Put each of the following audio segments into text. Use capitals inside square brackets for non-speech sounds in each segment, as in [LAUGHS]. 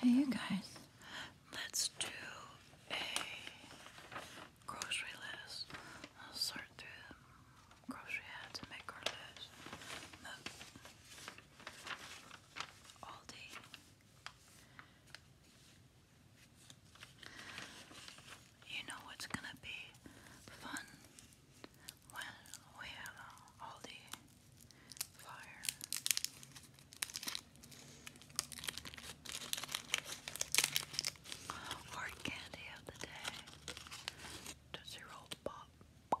Hey, you guys, let's do a grocery list. I'll sort through the grocery ads and make our list. Look. Aldi. You know what's gonna be fun? when we have all the fire. Or candy of the day. Tootsie Roll Pop.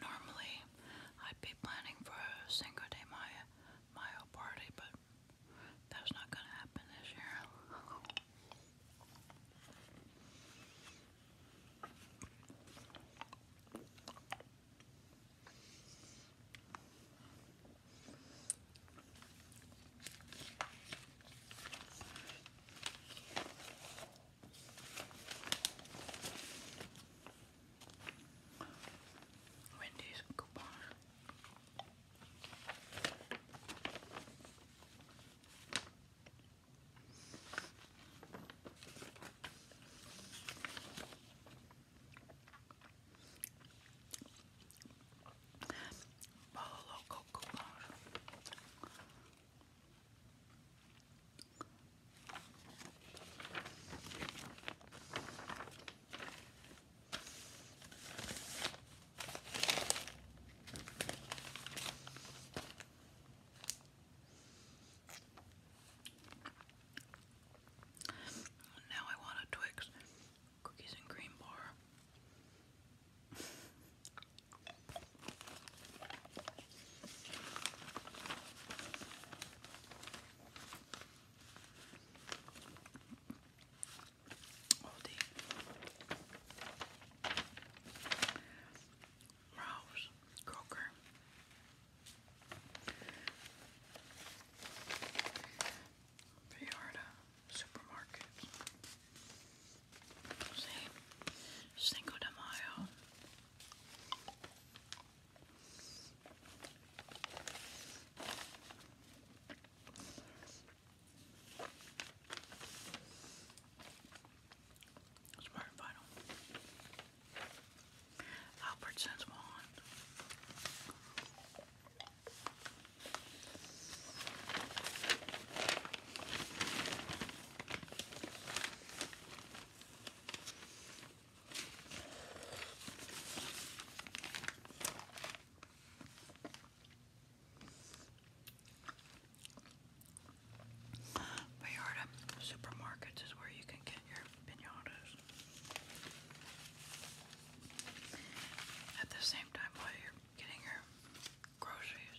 Normally, I'd be planning for Cinco de Mayo Mario Party, but that was not going to happen this year. Wendy's coupon. Polo Loco coupon. Now I want a Twix cookies and cream bar. Aldi, Ralph's, Kroger. Viarda supermarket. See, Cinco de Mayo. Smart and final. Albertsons wand. Vallarta supermarkets is where you can get your pinatas. At the same time while you're getting your groceries.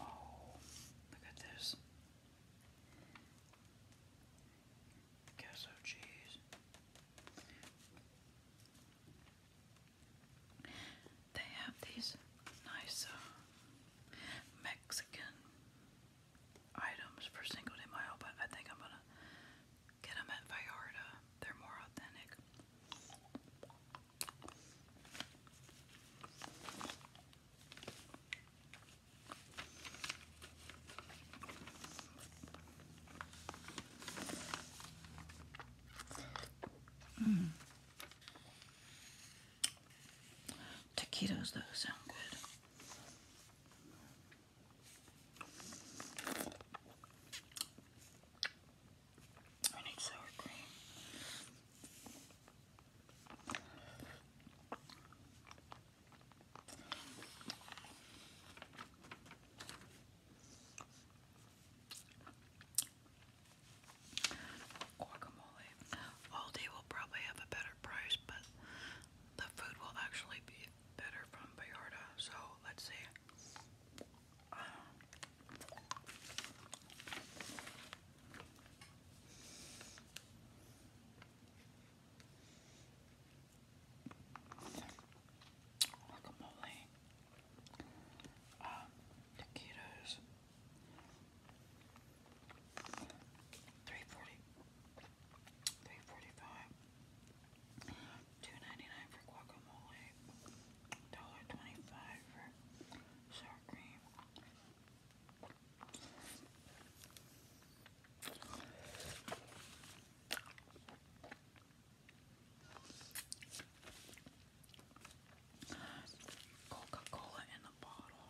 Oh, look at this. Queso cheese. They have these nice uh, Mexican items for single day Mayo, but I think I'm gonna get them at Vallarta. They're more authentic. Mm. Taquitos, though, sound good. I need sour cream guacamole. Aldi will probably have a better price, but the food will actually be better from Bayarda. So let's see. guacamole. Um, taquitos. Three forty, three forty-five, two ninety-nine for guacamole, dollar twenty-five for sour cream. Coca Cola in the bottle.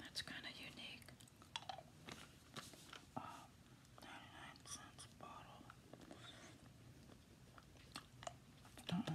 That's kind of unique. Uh, 99 cents a bottle. Uh -uh.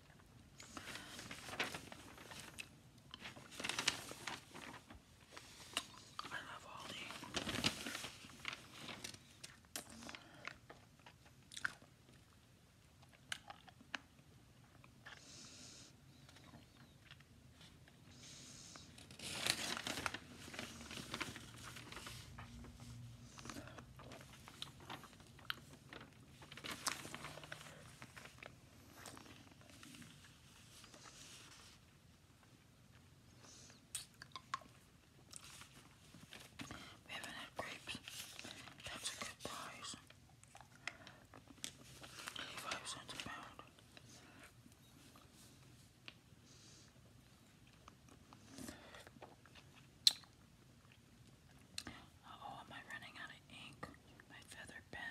I love Aldi. We haven't had grapes. That's a good price. 85 cents a pound. Uh oh, am I running out of ink? My feather pen.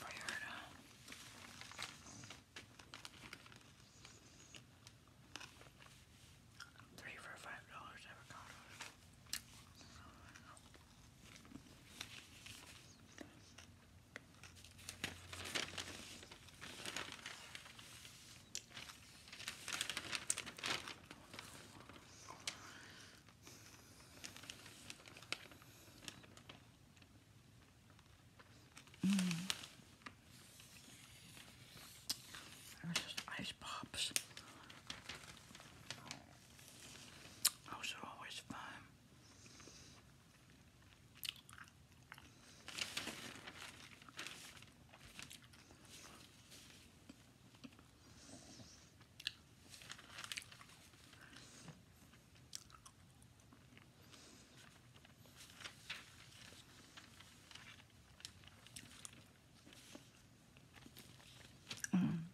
Friarda. Three for five dollars avocados. Mm. There's ice pops. Those are always fun. Um,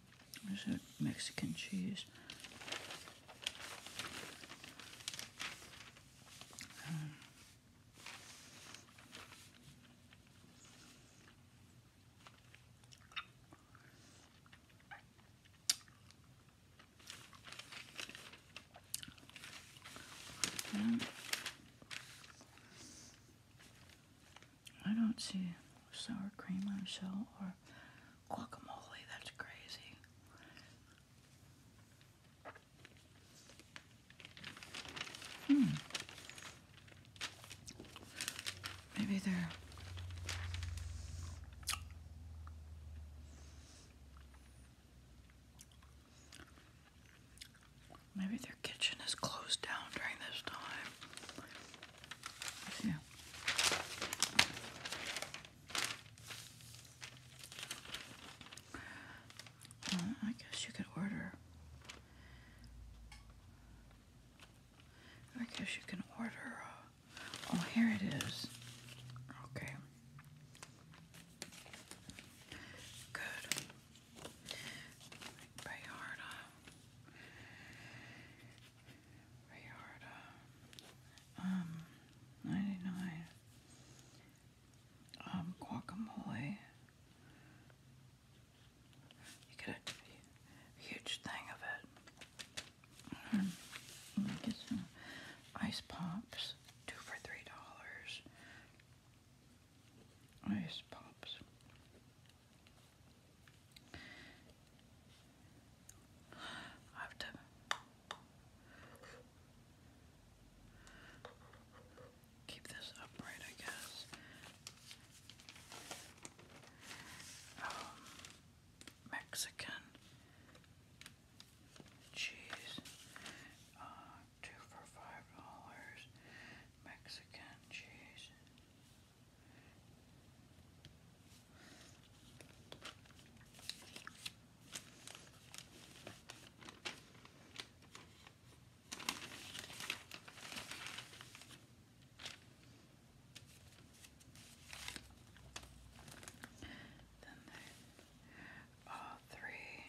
mm. there's a Mexican cheese. Um, I don't see sour cream on a shell or guacamole. That's crazy. Hmm. Maybe they're. Maybe their kitchen is closed down during this time. Uh, I guess you could order. I guess you can order. Uh, oh, here it is. Okay. Good like Bayarda, um, 99, um, guacamole. You get a huge thing of it. Mm-hmm. ice pops, two for three dollars. Ice pops have to keep this upright, I guess. Um, Mexican cheese, uh, two for five dollars. Mexican cheese. Then they all uh, three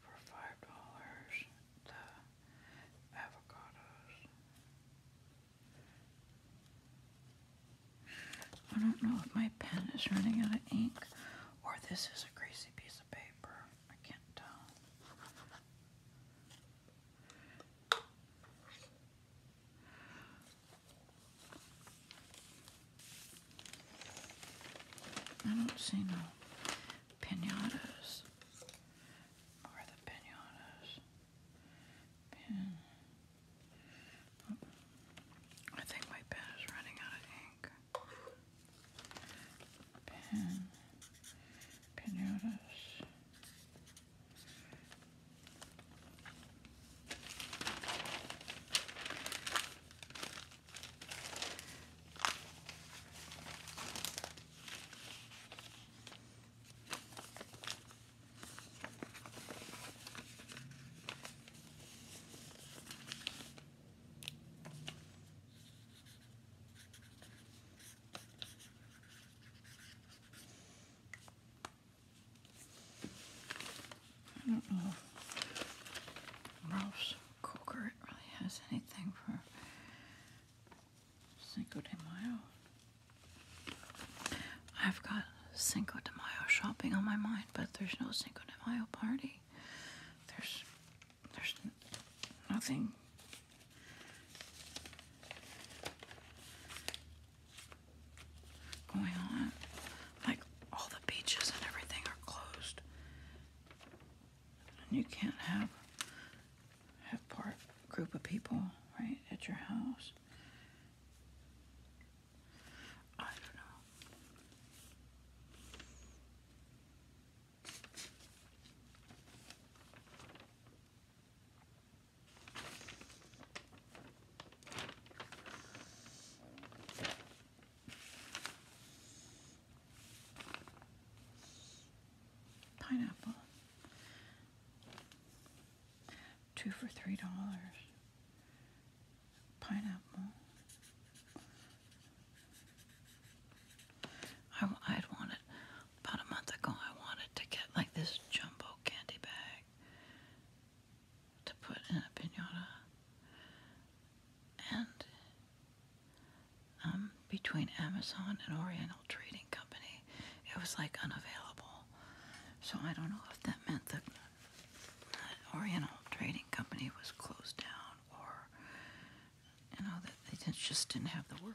for five dollars. The avocados. I don't know if my pen is running out of ink or this is a crazy piece of paper. I can't tell. I don't see no pinatas. Where the pinatas? I think my pen is running out of ink. Pinatas. I don't know. Ralph's Corcoran really has anything for Cinco de Mayo. I've got Cinco de Mayo shopping on my mind, but there's no Cinco de Mayo party. There's there's nothing. Going on, like all the beaches and everything are closed. And you can't have have part group of people, right, at your house. I don't know. Pineapple. Two for three dollars. Pineapple. I, I had wanted, about a month ago, I wanted to get like this jumbo candy bag to put in a pinata. And um, between Amazon and Oriental Trading Company. It was like unavailable. So I don't know if that meant that Oriental Trading Company was closed down or, you know, that they just didn't have the work.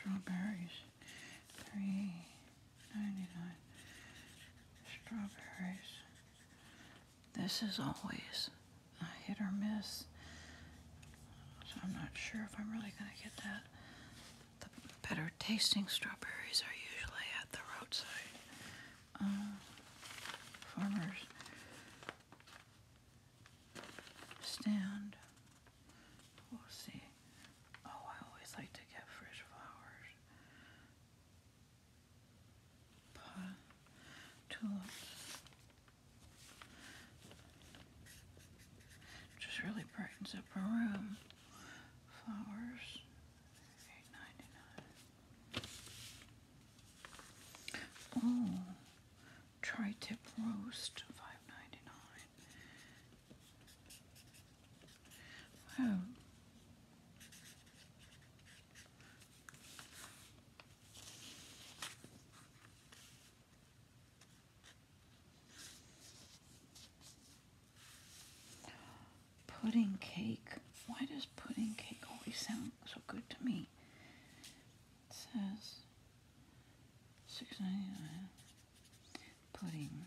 Strawberries, three ninety nine. Strawberries. This is always hit or miss. So I'm not sure if I'm really gonna get that. The better tasting strawberries are usually at the roadside uh, farmers stand. We'll see. Oh, I always like to get fresh flowers. tulips. Just really brightens up a room. Flowers, eight ninety nine. Oh, tri-tip roast, five ninety nine. Wow. Pudding cake. Why does pudding cake always sound so good to me? It says six ninety nine. Pudding.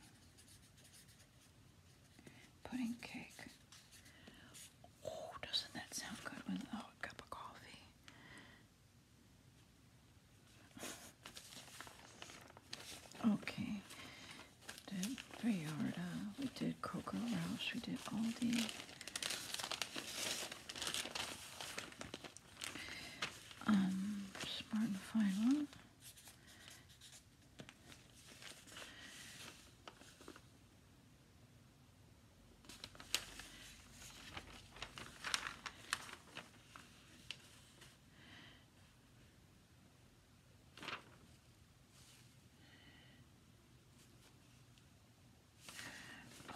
Pudding cake. Oh, doesn't that sound good with a cup of coffee? [LAUGHS] Okay, we did Vallarta. We did Coco Rouse. We did Aldi. Um, Smart and Final.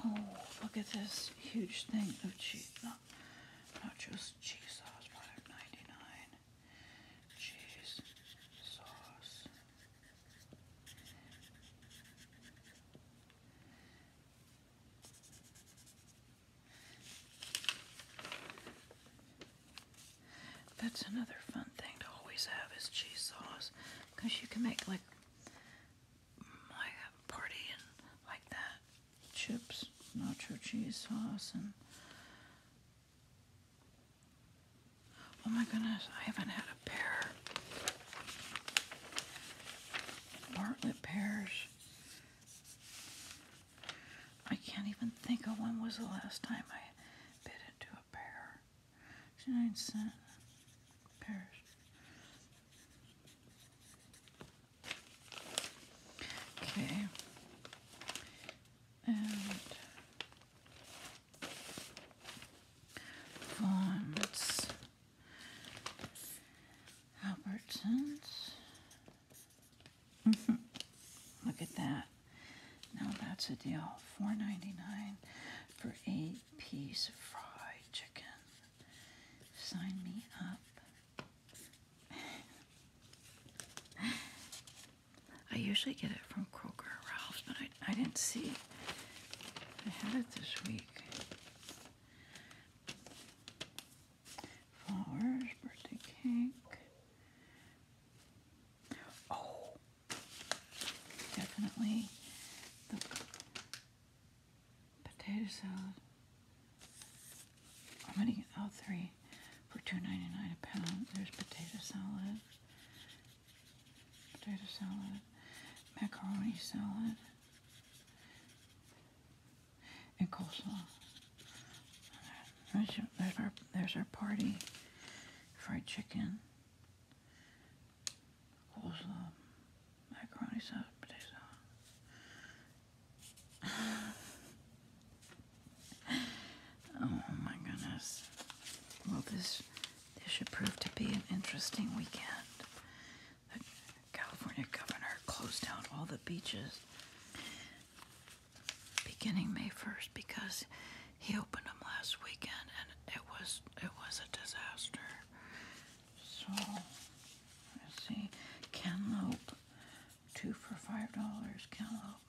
Oh, look at this huge thing of cheese. Not, just cheese sauce, product Cheese sauce. That's another fun thing to always have is cheese sauce, because you can make like like a party and like that chips, nacho cheese sauce, and oh my goodness, I haven't had a pear. Bartlett pears. I can't even think of when was the last time I bit into a pear. 69 cent pears. Okay. And Vaughn's. Albertsons. Mm -hmm. Look at that. Now that's a deal. $4.99 for eight piece fried chicken. Sign me up. I usually get it from Kroger or Ralph's, but I, I didn't see I had it this week. Flowers, birthday cake. Oh, definitely the potato salad. I'm gonna get all three for $2.99 a pound. There's potato salad, potato salad, macaroni salad, and coleslaw. There's our, there's our party. Fried chicken, coleslaw, macaroni sauce, potato sauce. [LAUGHS] oh my goodness. Well, this, this should prove to be an interesting weekend. The California governor closed down all the beaches beginning May 1st because he opened them last weekend and it was it was a disaster. So let's see, cantaloupe, two for five dollars, cantaloupe.